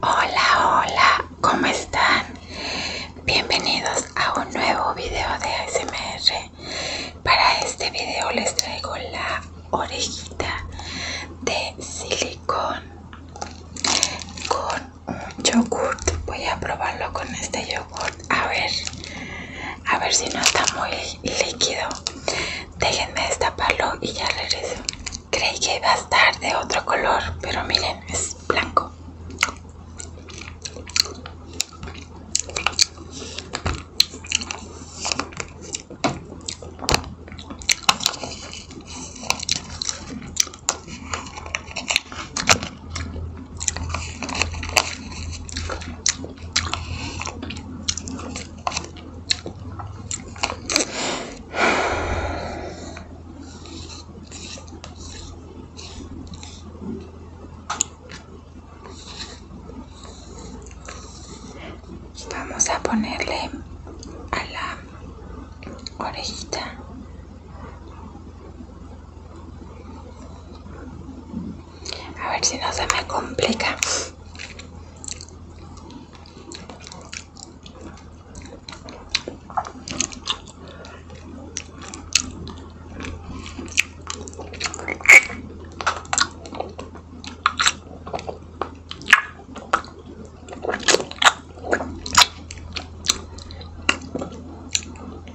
Hola, hola, ¿cómo están? Bienvenidos a un nuevo video de ASMR. Para este video les traigo la orejita de silicón con un yogurt. Voy a probarlo con este yogurt a ver a ver si no está muy líquido déjenme destaparlo y ya regreso creí que iba a estar de otro color pero miren es blanco Vamos a ponerle a la orejita. A ver si no se me complica.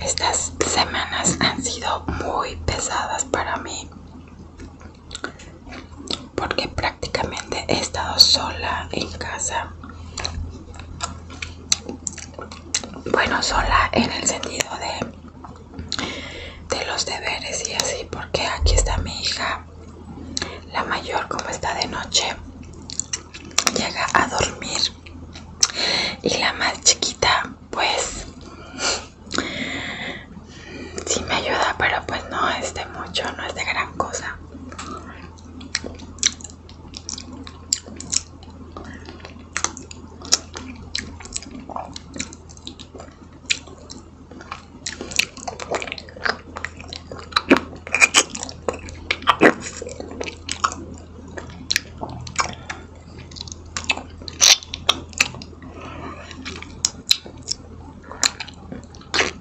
Estas semanas han sido muy pesadas para mí porque prácticamente he estado sola en casa bueno sola en el sentido de de los deberes y así porque aquí está mi hija la mayor como está de noche llega a dormir y la más chiquita pues sí me ayuda, pero pues no es de mucho, no es de gran cosa.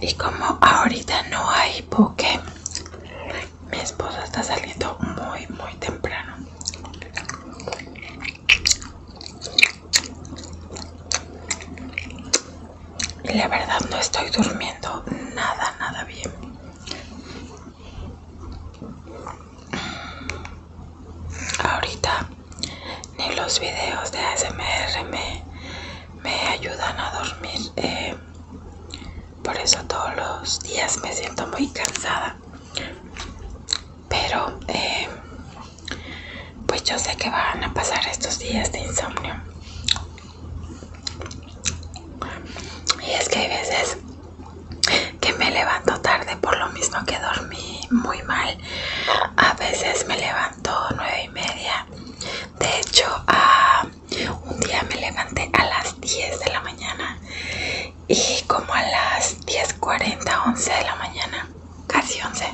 Y como ahorita no hay porque mi esposa está saliendo muy, muy temprano. la verdad no estoy durmiendo nada, nada bien. Ahorita ni los videos de ASMR me, ayudan a dormir. Eh, por eso todos los días me siento muy cansada. Pero eh, pues yo sé que van a pasar estos días de insomnio. Y es que hay veces que me levanto tarde por lo mismo que dormí muy mal. A veces me levanto nueve y media. De hecho, un día me levanté a las 10 de la mañana y como a las 10.40, 11 de la mañana, casi 11,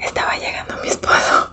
estaba llegando mi esposo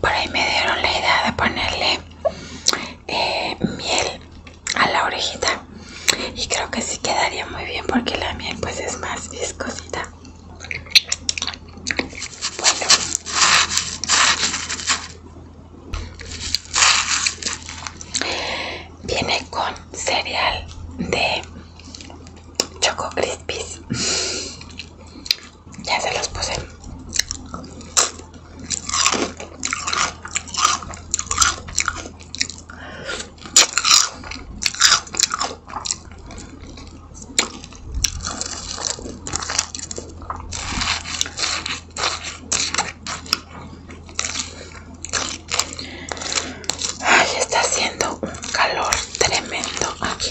Por ahí me dieron la idea de ponerle eh, miel a la orejita y creo que sí quedaría muy bien porque la miel pues es más viscosita. Bueno. Viene con cereal de Choco Crispies. Ya se los puse. Ay, está haciendo un calor tremendo aquí.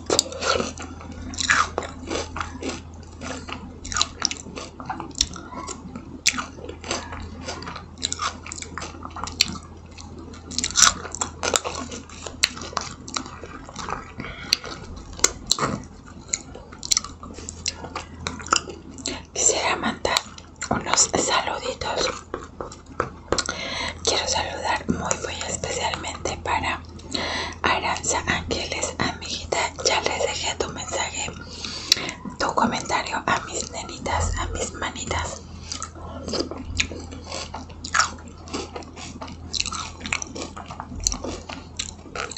Quisiera mandar unos saluditos. Quiero saludar muy, muy especialmente para Aranza Ángeles, amiguita, ya les dejé tu mensaje, tu comentario a mis nenitas, a mis manitas.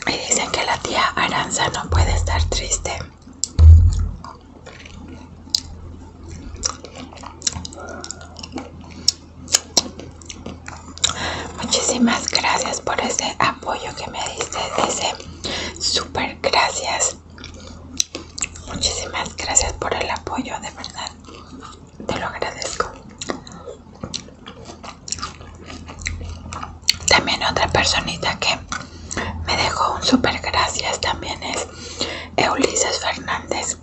Y dicen que la tía Aranza no puede estar triste. Muchísimas gracias por ese apoyo que me diste, ese super gracias. Muchísimas gracias por el apoyo, de verdad. Te lo agradezco. También otra personita que me dejó un super gracias también es Eulises Fernández.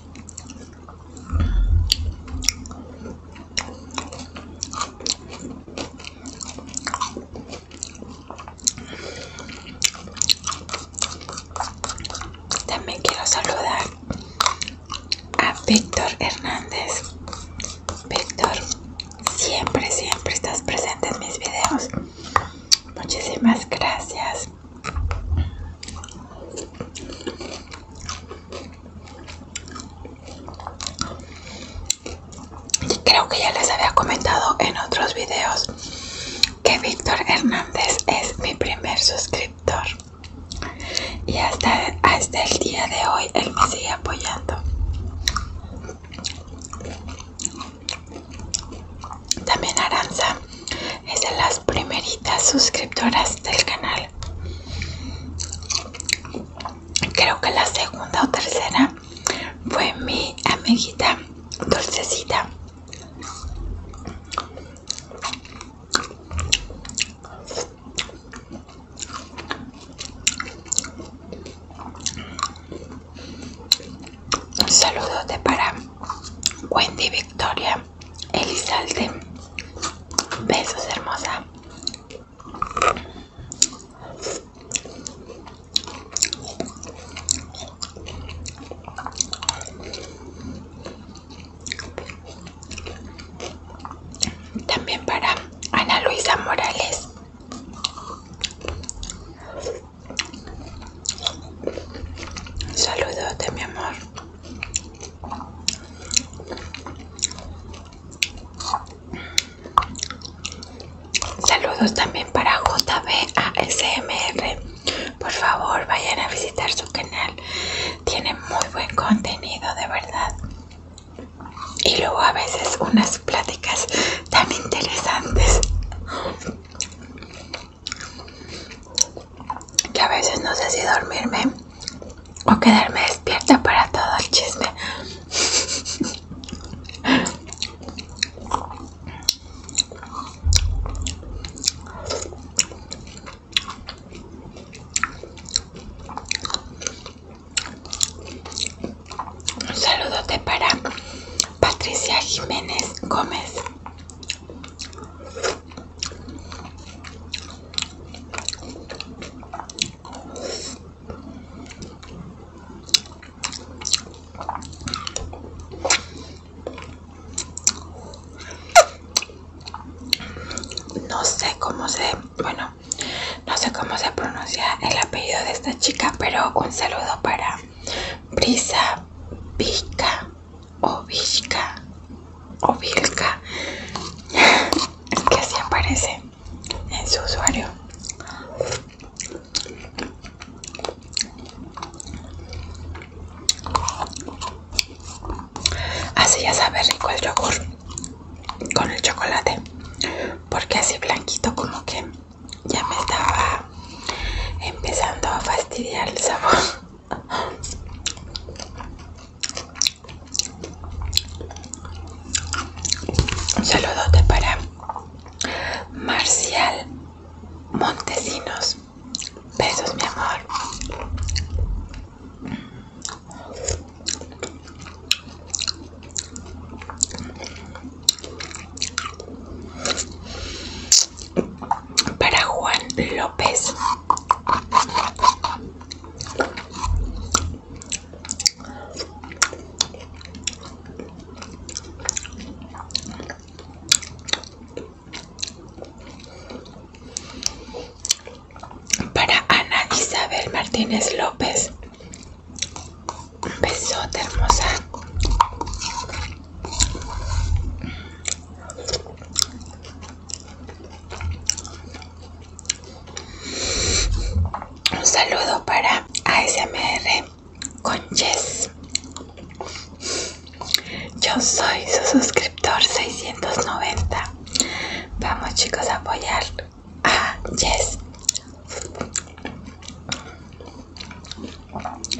También quiero saludar a Víctor Hernández. Víctor, siempre, siempre estás presente en mis videos. Muchísimas gracias. Y creo que ya les había comentado en otros videos que Víctor Hernández es mi primer suscriptor. Y hasta, hasta el día de hoy él me sigue apoyando. También Aranza es de las primeritas suscriptoras del canal creo que la segunda o tercera fue mi amiguita dulcecita un saludo de para Wendy Victoria Elizalde. Besos, hermosa. También para Ana Luisa Morales. Saludos de mi amor. Saludos también para JBASMR. Por favor, vayan a visitar su canal. Tiene muy buen contenido, de verdad. Y luego a veces unas pláticas tan interesantes que a veces no sé si dormirme o quedarme despierta para todo el chisme. Un saludote para Patricia Jiménez Gómez. No sé cómo se, bueno, no sé cómo se pronuncia el apellido de esta chica, pero un saludo para Brisa Pica o Ovilca, que así aparece en su usuario. Así ya sabe rico el yogur con el chocolate, porque así blanquito como que ya me estaba empezando a fastidiar el sabor. Un saludote para Marcial Montesinos. Besos, mi amor para Juan López. Para Ana Isabel Martínez López. Un besote hermosa. Un saludo para ASMR con Jess. Yo soy su suscriptor 690. Vamos chicos a apoyar a Jess.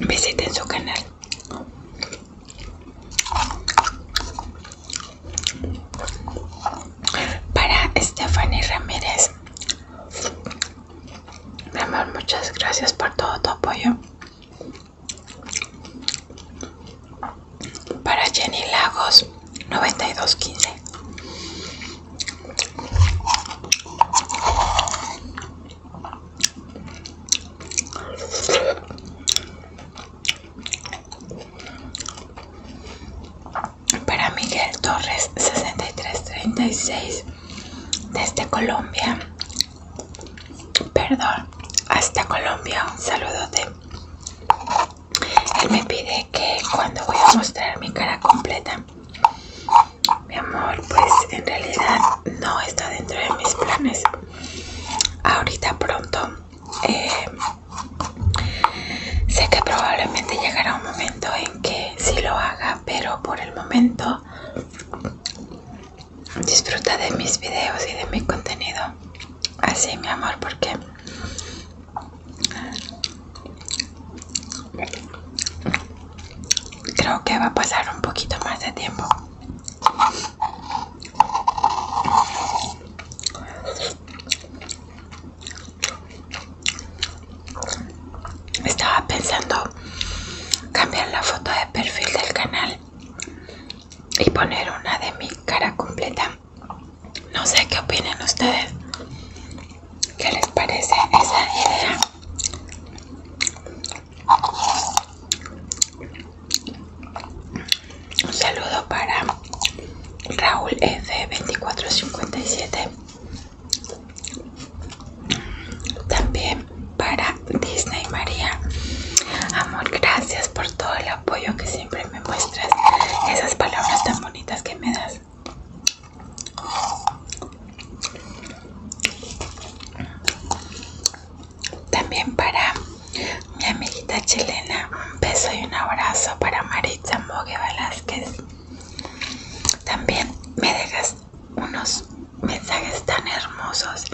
Visiten su canal. Para Stephanie Ramírez. Mi amor, muchas gracias por todo tu apoyo. Para Jenny Lagos, 9215. Para Miguel Torres 6336 desde Colombia. Perdón, hasta Colombia. Un de Él me pide que cuando voy a mostrar mi cara completa. Mi amor, pues en realidad no está dentro de mis planes. Ahorita pronto. Eh, sé que probablemente llegará un momento en que sí lo haga, pero por el momento disfruta de mis videos y de mi contenido. Así, mi amor, porque creo que va a pasar un poquito más de tiempo estaba pensando cambiar la foto de perfil del canal y poner una de mi cara completa. No sé qué opinan ustedes. ¿Qué les parece esa idea? Un saludo para Raúl F2457. También para Disney María. Amor, gracias por todo el apoyo que siempre me muestras. Esas palabras tan bonitas que me das. También para mi amiguita chilena, un beso y un abrazo para Maritza Mogue Velázquez. También me dejas unos mensajes tan hermosos,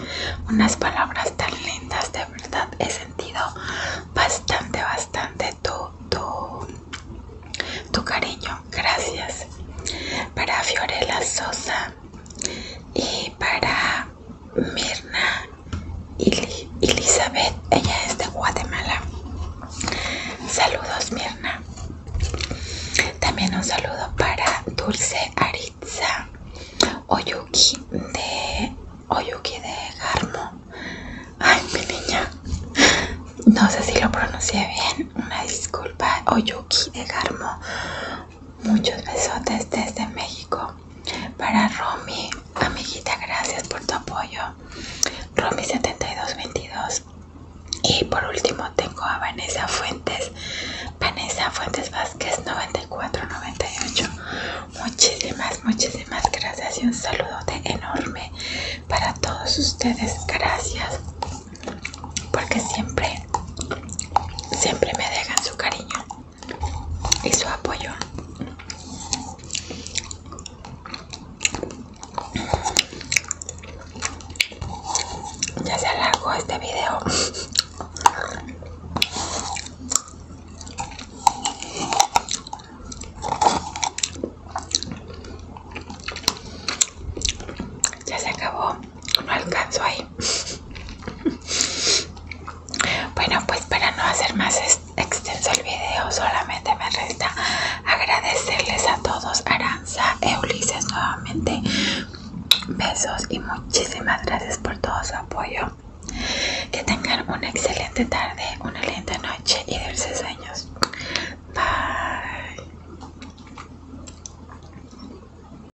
unas palabras tan lindas, de verdad he sentido bastante, bastante tu, tu, tu cariño. Gracias. Para Fiorella Sosa, y para Mirna y Elizabeth, ella es de Guatemala. Saludos Mirna. También un saludo para Dulce Aritza Oyuki de Oyuki de Garmo. Ay, mi niña. No sé si lo pronuncié bien. Una disculpa. Oyuki de Garmo. Muchos besotes desde México. Para Romy, amiguita, gracias por tu apoyo. Romy7222. Y por último tengo a Vanessa Fuentes. Vanessa Fuentes Vázquez 9498. Muchísimas, muchísimas gracias y un saludote enorme para todos ustedes. Gracias. Porque siempre, siempre me dejan su cariño y su apoyo. Ya se alargó este video. Ya se acabó no alcanzo ahí bueno pues para no hacer más extenso el video solamente me resta agradecerles a todos Aranza e Ulises nuevamente besos y muchísimas gracias por todo su apoyo que tengan una excelente tarde una linda noche y dulces sueños bye